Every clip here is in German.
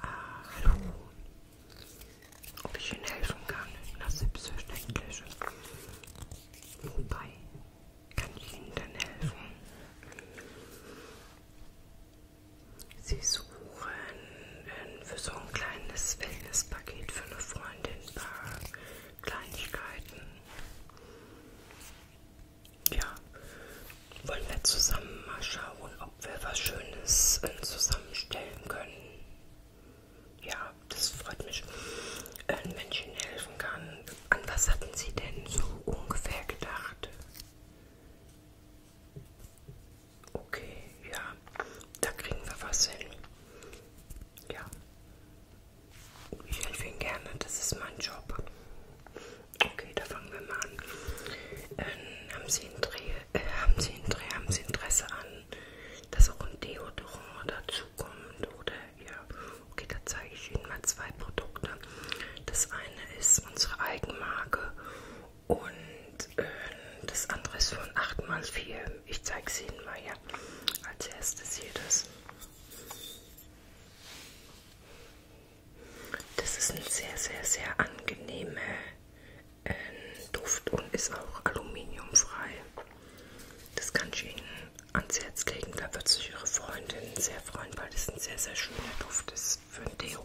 Ah, hallo. Ob ich Ihnen helfen kann? Das ist selbstverständlich. Wobei, kann ich Ihnen denn helfen? Sie suchen für so ein kleines Wellnesspaket für eine Freundin ein paar Kleinigkeiten ja, wollen wir zusammen mal schauen, ob wir was Schönes äh, zusammenstellen können. Ja, das freut mich, wenn äh, Menschen helfen kann. An was hatten Sie denn so ungefähr gedacht? Okay, ja, da kriegen wir was hin. Ja, ich helfe Ihnen gerne, das ist mein Job. Okay, da fangen wir mal an. Ähm, haben, Sie äh, haben, Sie haben Sie Interesse an, dass auch ein Deodorant dazukommt? Oder ja, okay, da zeige ich Ihnen mal zwei Produkte. Das eine ist unsere Eigenmarke und äh, das andere ist von 8x4. Ich zeige es Ihnen mal, ja. Als erstes hier das. Das ist ein sehr, sehr, sehr angenehmer äh, Duft und ist auch aluminiumfrei. Das kann ich Ihnen ans Herz legen. Da wird sich Ihre Freundin sehr freuen, weil das ein sehr, sehr schöner Duft ist für ein Deo.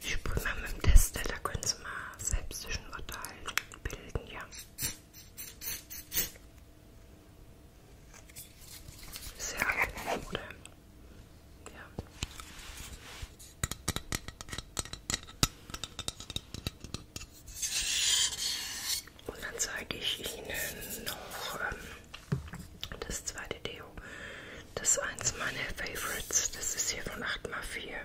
Ich spüre mal mit dem Tester, da können Sie mal selbst sich ein Urteil bilden, ja. Sehr angenehm, oder? Ja. Und dann zeige ich Ihnen noch ähm, das zweite Deo. Das ist eins meiner Favorites. Das ist hier von 8x4.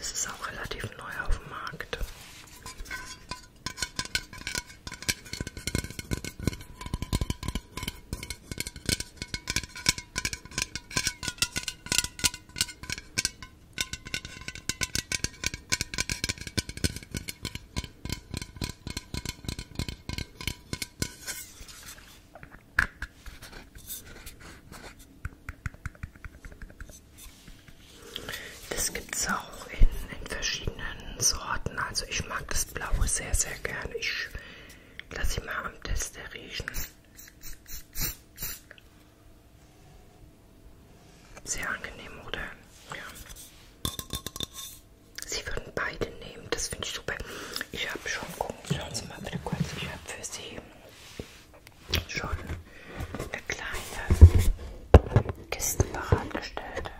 Es ist auch relativ neu auf dem Markt. Das gibt es auch in, in verschiedenen Sorten. Also ich mag das Blaue sehr, sehr gerne. Ich lasse ihn mal am Tester riechen. Sehr angenehm, oder? Ja. Sie würden beide nehmen, das finde ich super. Ich habe schon, gucken, schauen Sie mal bitte kurz, ich habe für Sie schon eine kleine Kiste bereitgestellt.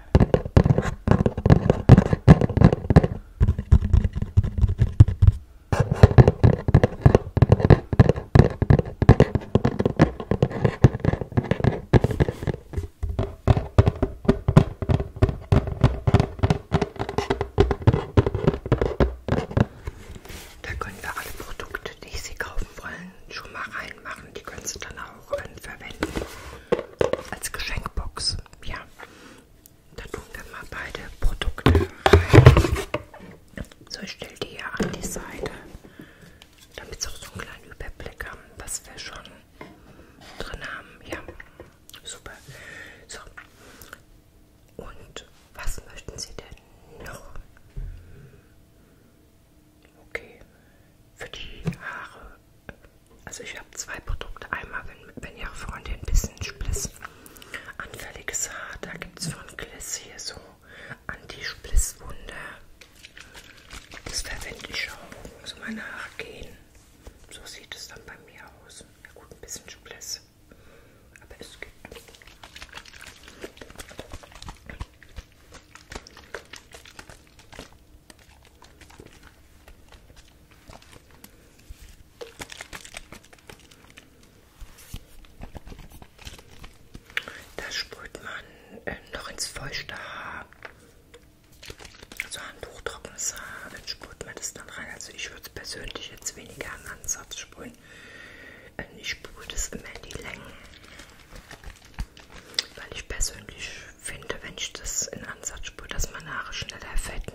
Da können wir alle Produkte, die Sie kaufen wollen, schon mal reinmachen. Die können Sie dann auch äh, verwenden als Geschenkbox. Ja, da tun wir mal beide Produkte rein. So, ich stelle die hier an die Seite, damit Sie auch so einen kleinen Überblick haben, was wir schon drin haben. Ja. Super. So. Und was möchten Sie denn noch? Okay. Für die Haare. Also ich habe zwei Produkte. Einmal, wenn, wenn Ihre Freundin ein bisschen spliss anfälliges Haar, da gibt es von Gliss hier so Anti-Splisswunder. Das verwende ich schon, wo so also meine Haare gehen. So sieht es dann bei mir aus. Ja gut, ein bisschen Schublesse. Aber es geht. Da sprüht man äh, noch ins feuchte Haar so Handtuch trockenes Haar, äh, dann sprüht man das dann rein. Also ich würde es persönlich jetzt weniger an Ansatz sprühen. Äh, ich sprühe das immer in die Längen. Weil ich persönlich finde, wenn ich das in Ansatz sprühe, dass meine Haare schneller fetten.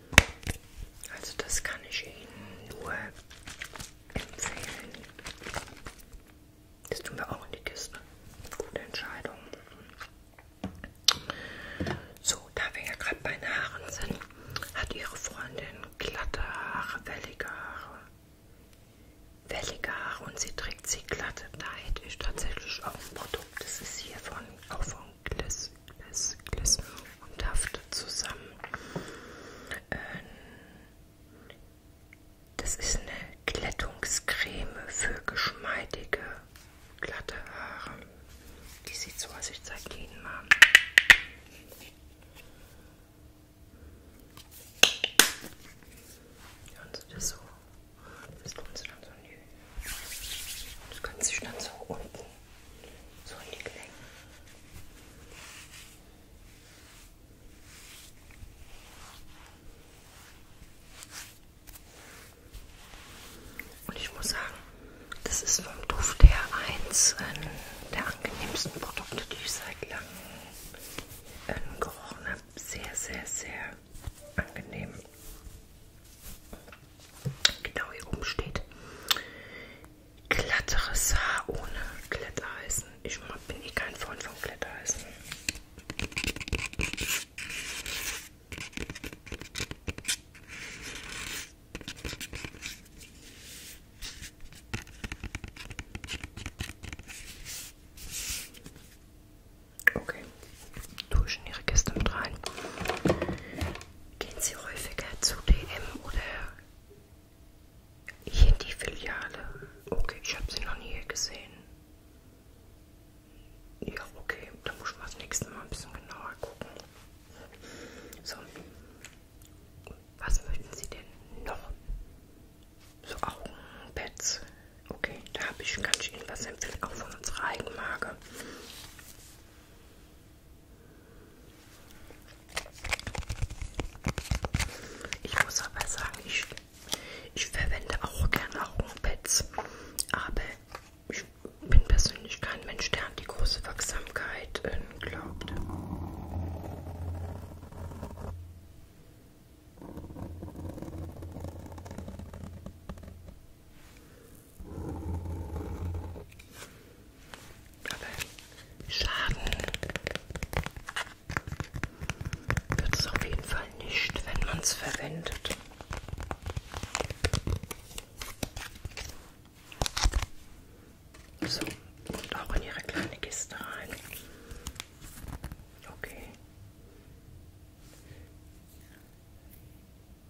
Also das kann ich Ihnen nur empfehlen. Das tun wir auch in die Kiste. Gute Entscheidung. So, da wir ja gerade bei den Haaren sind, hat Ihre Freundin glatte Haare, wellige Haare. Wellige Haare und sie trägt sie glatte. Da hätte ich tatsächlich auch ein Produkt. Das ist hier von, auch von Gliss, Gliss, Gliss und haftet zusammen. Ähm, das ist eine Glättungscreme für geschmeidige, glatte Haare. Die sieht so aus, ich zeige die Ihnen mal. Hören Sie das so? Das tun Sie dann so in die... Das können Sie dann so unten so in die Klänge. Und ich muss sagen, das ist vom Duft her eins ähm, der angenehmsten Produkte, die ich seit langem ähm, gerochen habe. Sehr, sehr, sehr angenehm. Genau hier oben steht glatteres Haar ohne Glätteisen. Ich bin eh kein Freund von Glätteisen. Okay, tue ich in Ihre Kiste mit rein. Gehen Sie häufiger zu DM oder hier die Filiale. Okay, ich habe sie noch nie hier gesehen. Ja, okay, dann muss ich mal das nächste Mal ein bisschen genauer gucken. So, was möchten Sie denn noch? So Augenpads. Okay, da habe ich, kann ich Ihnen was empfehlen, auch von unserer Eigenmarke. Ich muss aber sagen, ich, ich verwende auch gerne Augenpads, aber ich bin persönlich kein Mensch, der an die große Wachsamkeit äh, glaubt. Aber Schaden wird es auf jeden Fall nicht, wenn man es verwendet. So, und auch in ihre kleine Kiste rein. Okay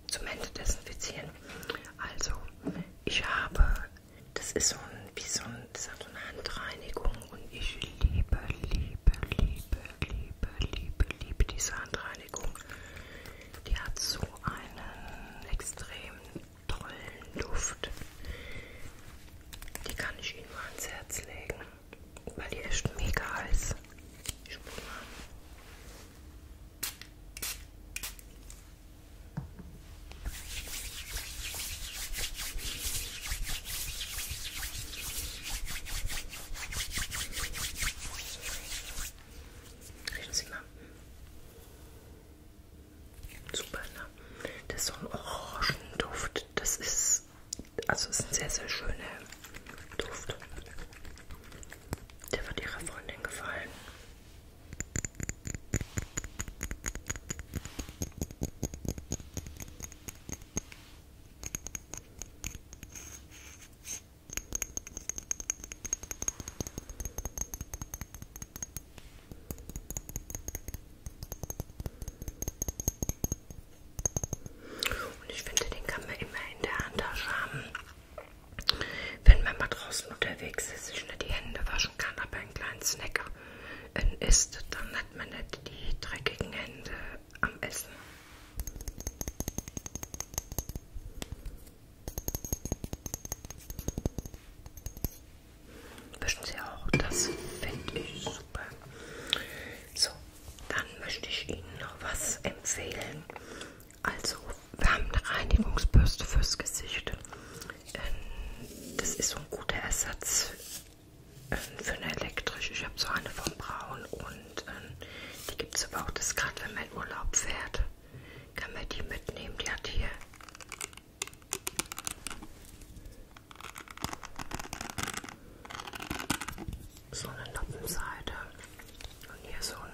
zum Ende desinfizieren. Also, ich habe, das ist so ein, wie so ein, das hat so eine Handreinigung und ich liebe, liebe, liebe, liebe, liebe, liebe diese Handreinigung. Die hat so einen extrem tollen Duft. Die kann ich Ihnen mal ans Herz legen, weil die echt mega ist. Ich mal. Riechen Sie mal. Super, ne? Das ist so ein Orangenduft. Das ist, also ist ein sehr, sehr schöner Duft. Der wird Ihrer Freundin gefallen. Und ich finde, den kann man immer in der Handtasche haben. Wenn man mal draußen unterwegs ist, sich nicht die Hände waschen kann, aber einen kleinen Snack isst, dann hat man nicht die dreckigen Hände am Essen. Wischen Sie auch, das finde ich super. So, dann möchte ich Ihnen noch was empfehlen. Also, wir haben eine Reinigungsbürste fürs Gesicht. Ähm, das ist so ein guter Ersatz ähm, für eine elektrische. Ich habe so eine von Braun und ähm, die gibt es aber auch. Das gerade, wenn man in Urlaub fährt, kann man die mitnehmen. Die hat hier so eine Noppenseite und hier so eine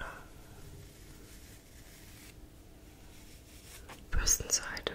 Bürstenseite.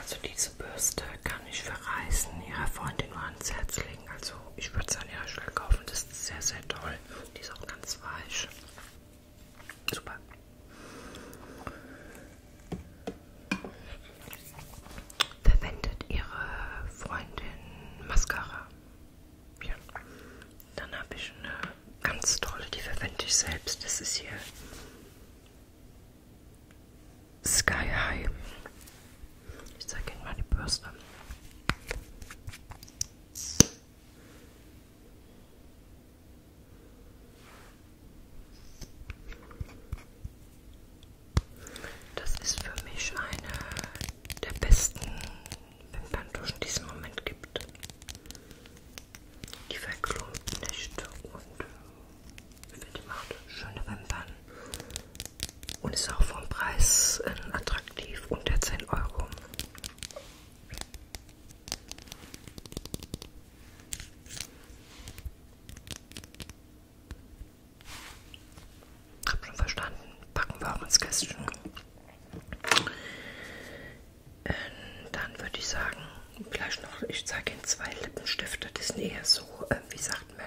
Also diese Bürste kann ich für Reisen Ihrer Freundin nur ans Herz legen. Deswegen, also ich würde es an der Stelle kaufen. Das ist sehr, sehr toll. Die ist auch ganz weich. Super. Verwendet Ihre Freundin Mascara? Ja. Dann habe ich eine ganz tolle, die verwende ich selbst. Das ist hier Sky High. Ich zeige Ihnen mal die Bürste. Das ist für mich eine der besten Wimperntuschen, die es im Moment gibt. Die verklumpt nicht und die macht schöne Wimpern und ist auch vom Preis äh, attraktiv unter 10 Euro. Hab schon verstanden. Packen wir auch ins Kästchen. Äh, dann würde ich sagen, vielleicht noch, ich zeige Ihnen zwei Lippenstifte. Die sind eher so, äh, wie sagt man,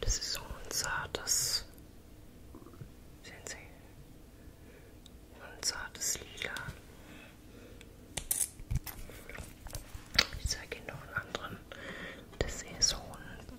Das ist so ein zartes, sehen Sie, ein zartes Lila. Ich zeige Ihnen noch einen anderen. Das ist so ein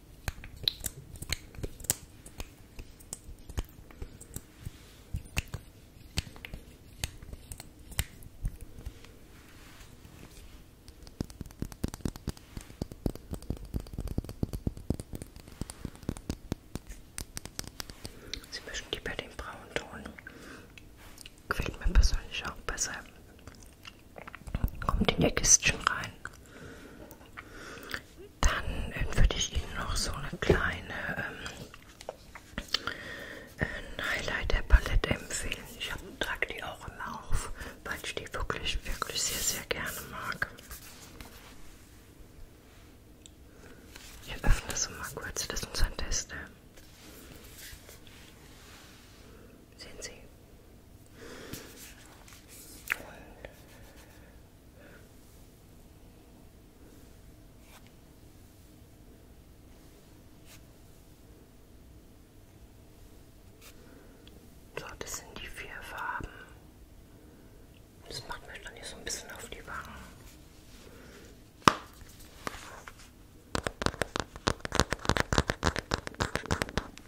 Sie möchten lieber den braunen Ton. Gefällt mir persönlich auch besser. Kommt in ihr Kistchen rein. Dann äh, würde ich Ihnen noch so eine kleine ähm, ein Highlight der Palette empfehlen. Ich trage die auch immer auf, weil ich die wirklich, wirklich sehr, sehr gerne mag. Ich öffne das mal kurz, das ist unser Tester. Sehen Sie, so, das sind die vier Farben. Das macht mir dann hier so ein bisschen auf die Wangen.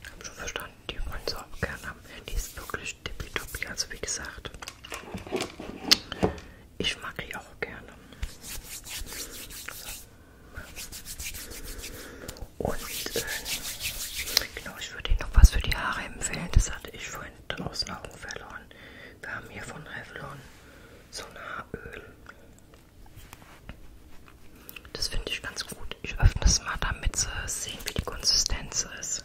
Ich habe schon verstanden, die Monster-Kern am Handy ist wirklich tippitoppi, also wie gesagt. Ich mag die auch gerne. Und äh, genau, ich würde Ihnen noch was für die Haare empfehlen. Das hatte ich vorhin komplett aus den Augen verloren. Wir haben hier von Revlon so ein Haaröl. Das finde ich ganz gut. Ich öffne es mal, damit sie sehen, wie die Konsistenz ist.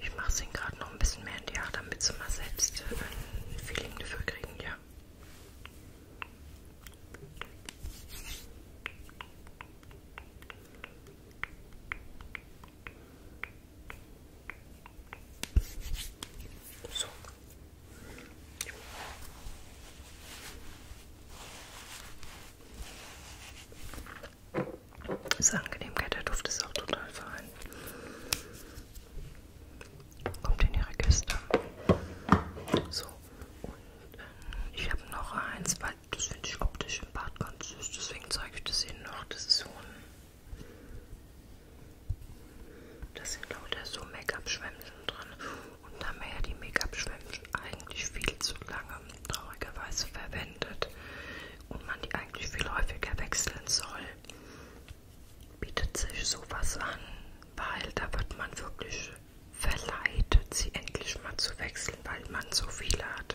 Ich mache es Ihnen gerade noch ein bisschen mehr in die Haare, damit Sie mal selbst äh, ein Feeling dafür kriegen, ja. So. Ist Angenehmkeit, der Duft ist auch total fein. Kommt in ihre Kiste. So. Und äh, ich habe noch eins, weil das finde ich optisch im Bad ganz süß. Deswegen zeige ich das Ihnen noch. Das ist so ein das sind lauter so Make-up-Schwämmchen drin. Und haben wir ja die Make-up-Schwämmchen eigentlich viel zu lange traurigerweise verwendet. Und man die eigentlich viel häufiger wechseln soll. Bietet sich sowas an, weil da wird man wirklich verleitet, sie endlich mal zu wechseln, weil man so viele hat.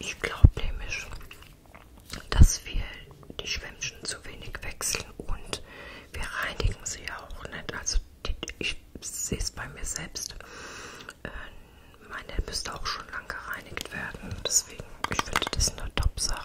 Ich glaube nämlich, dass wir die Schwämmchen zu wenig wechseln und wir reinigen sie ja auch nicht. Also die, ich sehe es bei mir selbst. Äh, meine müsste auch schon lang gereinigt werden. Deswegen, ich finde das eine Top-Sache.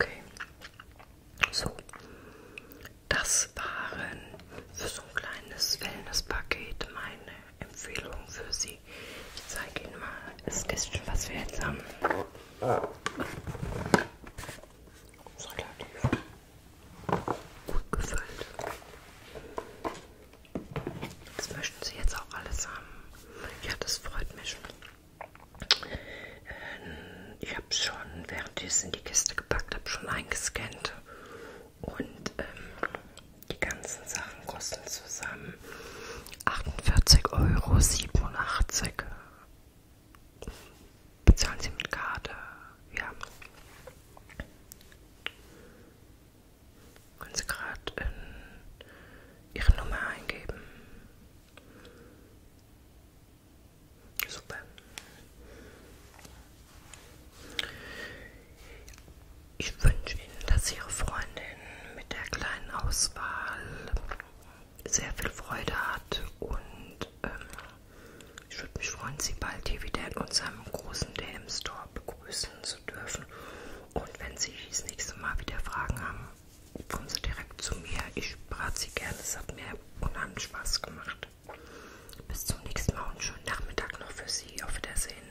Okay, so das waren für so ein kleines Wellness-Paket meine Empfehlung für Sie. Ich zeige Ihnen mal das Kästchen, was wir jetzt haben. Ist relativ gut gefüllt. Das möchten Sie jetzt auch alles haben. Ja, das freut mich. Ähm, ich habe schon, während ich es in die Kiste gepackt habe, schon eingescannt. Und ähm, die ganzen Sachen kosten zusammen 48,87 Euro. Bezahlen Sie mit Karte. Ja. Können Sie gerade Ihre Nummer eingeben? Super. Ich wünsche Ihnen, dass Ihre Freundin mit der kleinen Auswahl sehr viel Freude hat und ähm, ich würde mich freuen, Sie bald hier wieder in unserem großen DM-Store begrüßen zu dürfen. Und wenn Sie das nächste Mal wieder Fragen haben, kommen Sie direkt zu mir. Ich berate Sie gerne. Es hat mir unheimlich Spaß gemacht. Bis zum nächsten Mal und schönen Nachmittag noch für Sie. Auf Wiedersehen.